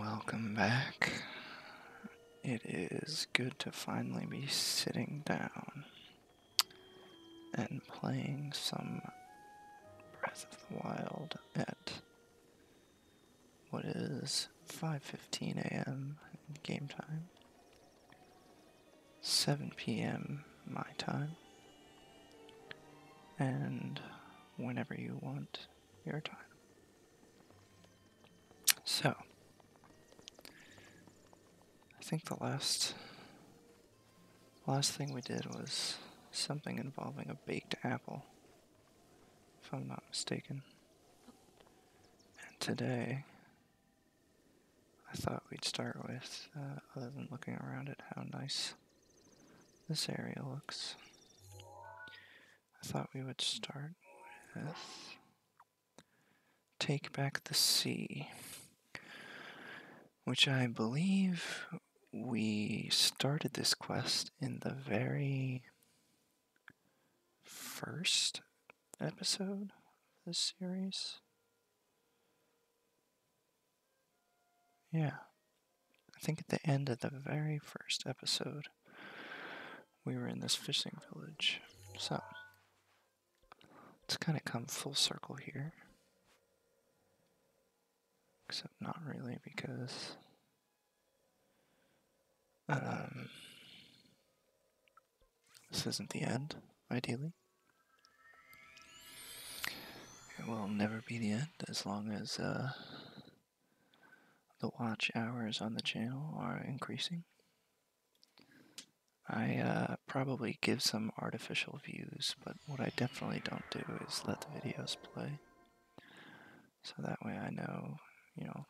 Welcome back. It is good to finally be sitting down and playing some Breath of the Wild at what is 5:15 a.m. game time. 7 p.m. my time, and whenever you want your time. So, I think the last last thing we did was something involving a baked apple, if I'm not mistaken. And today I thought we'd start with, uh, other than looking around at how nice this area looks, I thought we would start with Take Back the Sea, which I believe we started this quest in the very first episode of this series. Yeah. I think at the end of the very first episode, we were in this fishing village. So, it's kind of come full circle here. Except not really because. Um, this isn't the end, ideally. It will never be the end as long as uh, the watch hours on the channel are increasing. I uh, probably give some artificial views, but what I definitely don't do is let the videos play. So that way I know, you know,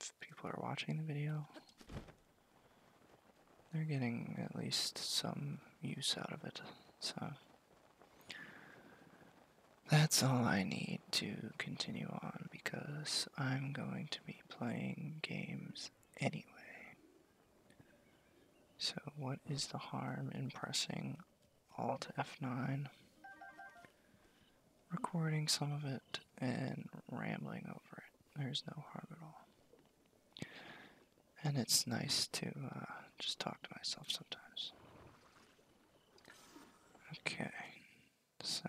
if people are watching the video, they're getting at least some use out of it. So that's all I need to continue on because I'm going to be playing games anyway. So, what is the harm in pressing Alt F9? Recording some of it and rambling over it. There's no harm at all. And it's nice to uh, just talk to myself sometimes. Okay, so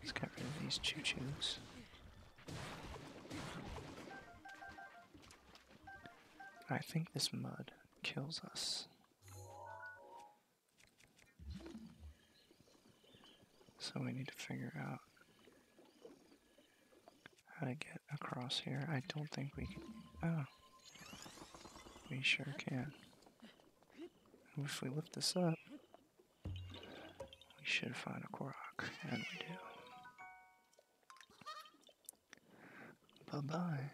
let's get rid of these choo choos. I think this mud kills us. So we need to figure out how to get across here. I don't think we can. Oh. We sure can. And if we lift this up, we should find a Korok. And we do. Bye-bye.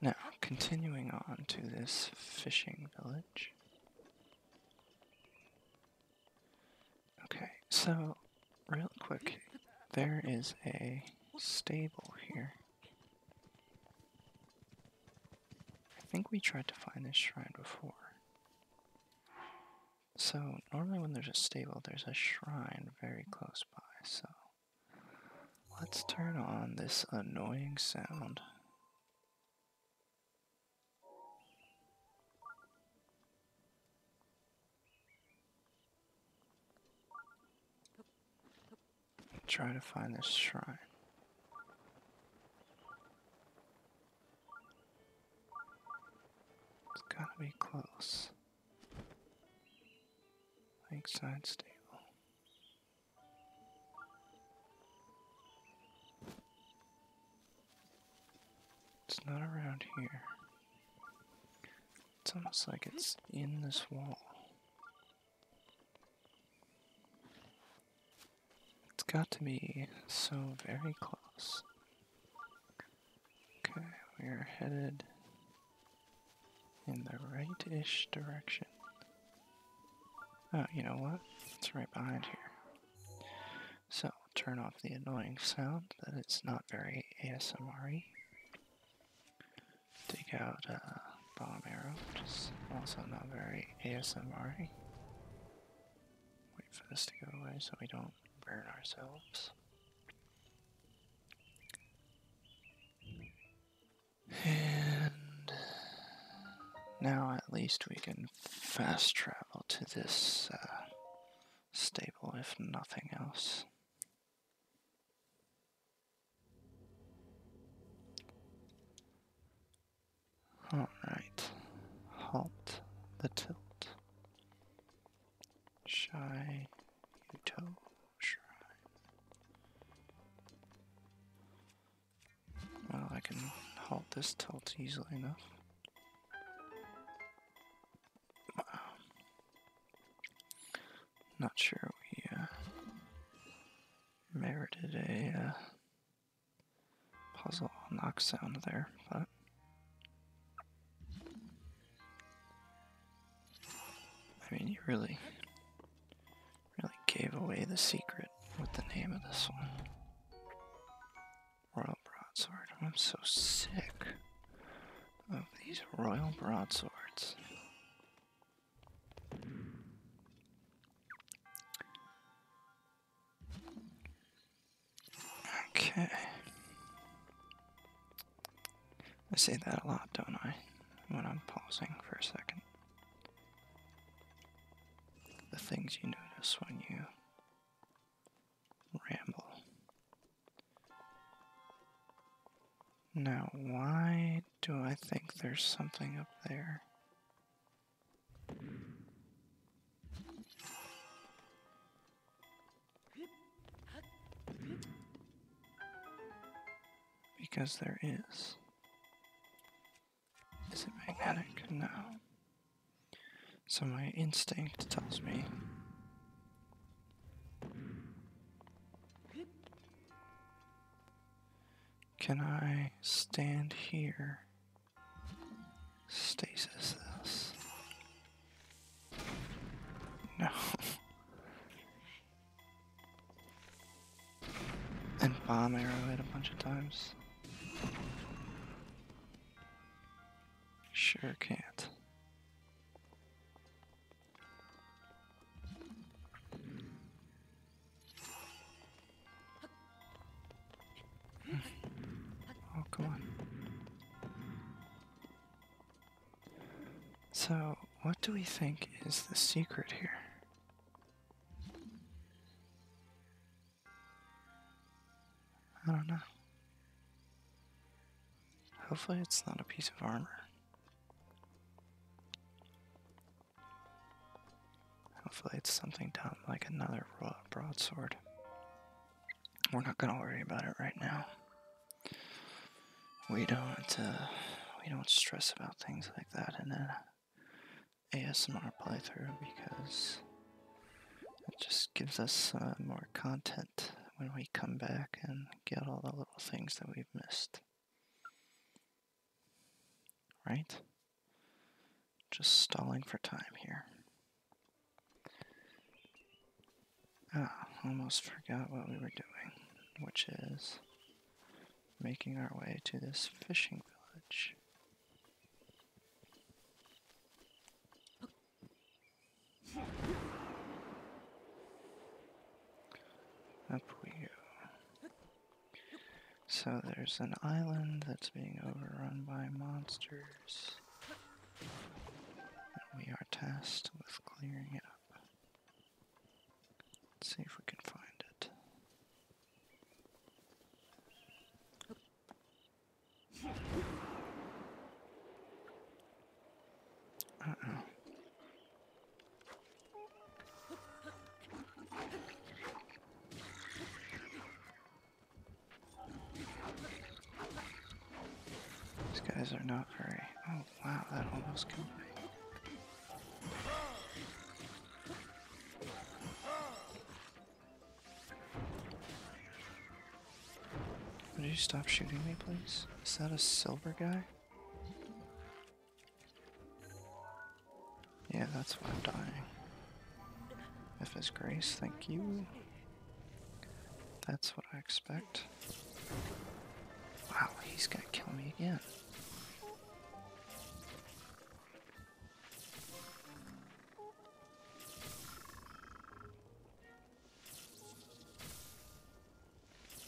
Now, continuing on to this fishing village. Okay, so real quick, there is a stable here. I think we tried to find this shrine before. So, normally when there's a stable, there's a shrine very close by, so Let's turn on this annoying sound. Try to find this shrine. It's gotta be close. Lakeside Stable. It's not around here. It's almost like it's in this wall. It's got to be so very close. Okay, we are headed in the right-ish direction. Oh, you know what? It's right behind here. So, turn off the annoying sound that it's not very ASMR Take out a uh, bomb arrow, which is also not very ASMR Wait for this to go away so we don't burn ourselves. And now at least we can fast travel to this uh, stable, if nothing else. Alright, halt the tilt. Shy well, I can halt this tilt easily enough. Wow. Not sure we uh, merited a uh, puzzle knock sound there, but I mean, you really, really gave away the secret with the name of this one. Royal Broadsword. I'm so sick of these Royal Broadswords. Okay. I say that a lot, don't I? When I'm pausing for a second. The things you notice when you ramble. Now, why do I think there's something up there? Because there is. Is it magnetic? No. So my instinct tells me Can I stand here? Stasis this. No. And bomb arrow it a bunch of times. Sure can't. Hmm. Oh, come on. So, what do we think is the secret here? I don't know. Hopefully, it's not a piece of armor. Hopefully, it's something dumb like another broadsword. We're not gonna worry about it right now we don't uh, we don't stress about things like that in an ASMR playthrough because it just gives us uh, more content when we come back and get all the little things that we've missed. Right? Just stalling for time here. Ah, almost forgot what we were doing, which is making our way to this fishing village. Up we go. So there's an island that's being overrun by monsters. And we are tasked with clearing it up. Let's see if we can find it. Uh oh. These guys are not very. Oh wow, that almost killed me. Would you stop shooting me, please? Is that a silver guy? Yeah, that's why I'm dying. If his grace, thank you. That's what I expect. Wow, he's gonna kill me again.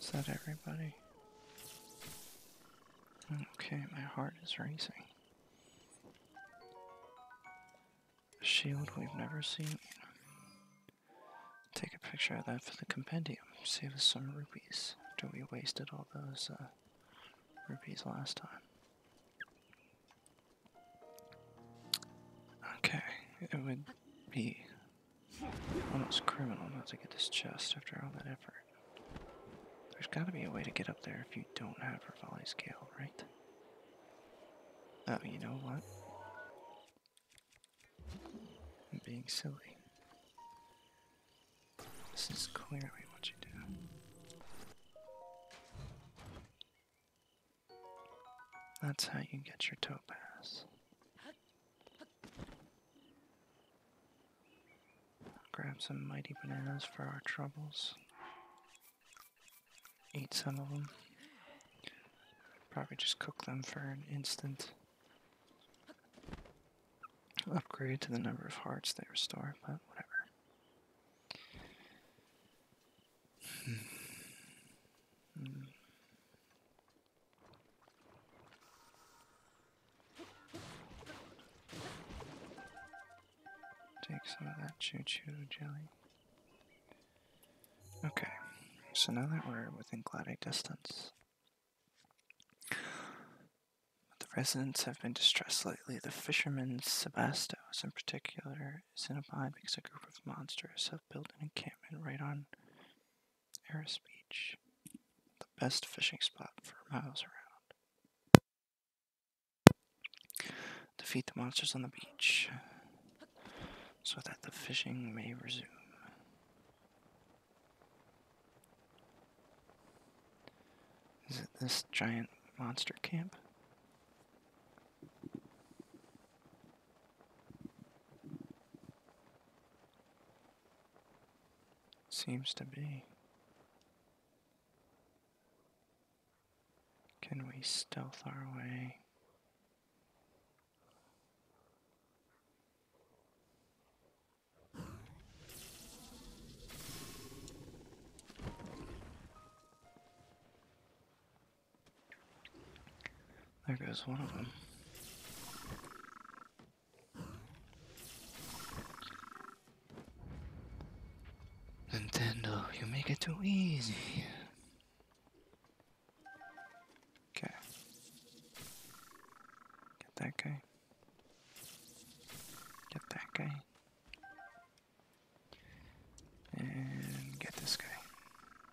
Is that everybody? Okay, my heart is racing. A shield we've never seen. Take a picture of that for the compendium. Save us some rupees. After we wasted all those uh, rupees last time. Okay, it would be almost criminal not to get this chest after all that effort. There's gotta be a way to get up there if you don't have a Revali scale, right? Oh, you know what? I'm being silly. This is clearly what you do. That's how you get your topaz. Grab some mighty bananas for our troubles eat some of them. Probably just cook them for an instant upgrade to the number of hearts they restore, but whatever. Hmm. Hmm. Take some of that choo-choo jelly. Okay, so now that we're within gliding distance, the residents have been distressed lately. The fisherman Sebastos, in particular, is in a bind because a group of monsters have built an encampment right on Eris Beach, the best fishing spot for miles around. Defeat the monsters on the beach so that the fishing may resume. Is it this giant monster camp? Seems to be. Can we stealth our way? There goes one of them. Nintendo, you make it too easy. Okay. Get that guy. Get that guy. And get this guy.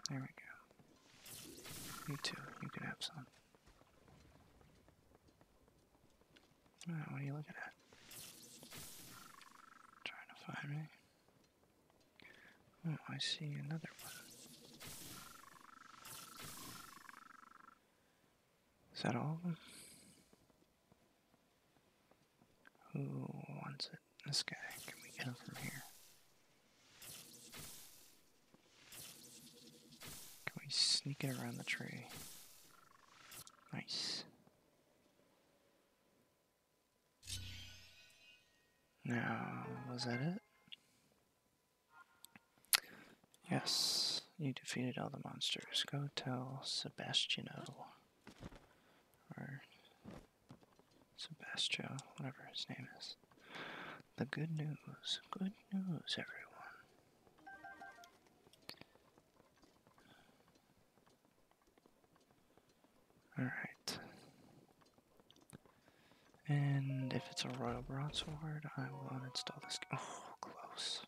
There we go. You too, you can have some. Alright, what are you looking at? Trying to find me. Oh, I see another one. Is that all of them? Who wants it? This guy. Can we get him from here? Can we sneak it around the tree? Nice. Now, was that it? Yes, you defeated all the monsters. Go tell Sebastiano. Or Sebastio, whatever his name is. The good news. Good news, everyone. All right. And if it's a royal broadsword, I will uninstall this. Oh, close.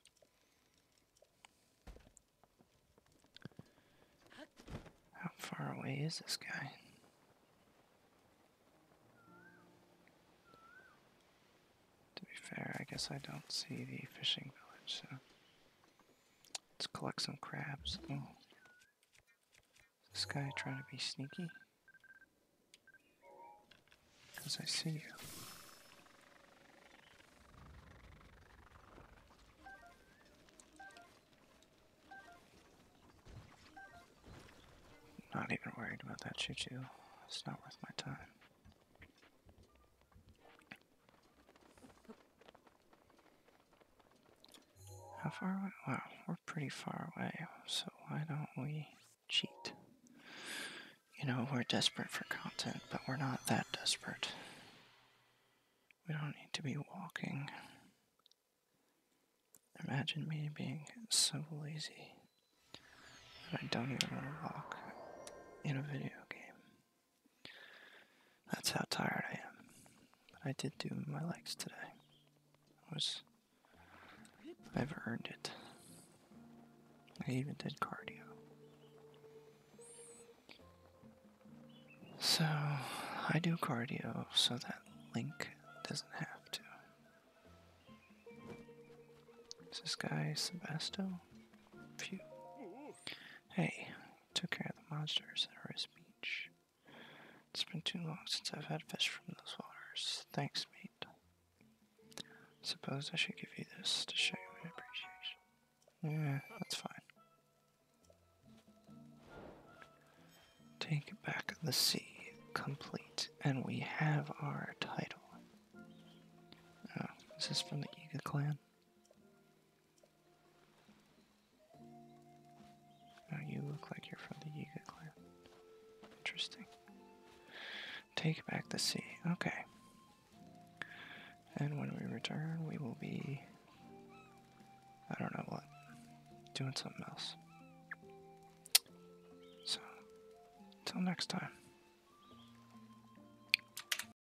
How far away is this guy? To be fair, I guess I don't see the fishing village, so. Let's collect some crabs. Oh. this guy trying to be sneaky? Because I see you. not even worried about that choo-choo. It's not worth my time. How far Wow, we're pretty far away, so why don't we cheat? You know, we're desperate for content, but we're not that desperate. We don't need to be walking. Imagine me being so lazy that I don't even want to walk in a video game. That's how tired I am. But I did do my legs today. I was I've earned it. I even did cardio. So I do cardio so that Link doesn't have to. this guy Sebasto? Phew. Hey, took care of the monsters at Rose Beach. It's been too long since I've had fish from those waters. Thanks, mate. Suppose I should give you this to show my appreciation. Yeah, that's fine. Take back the sea, complete, and we have our title. Oh, is from the Eagle clan? Now you look like you're from the Yiga clan. Interesting. Take back the sea. Okay. And when we return, we will be. I don't know what. Doing something else. So, till next time.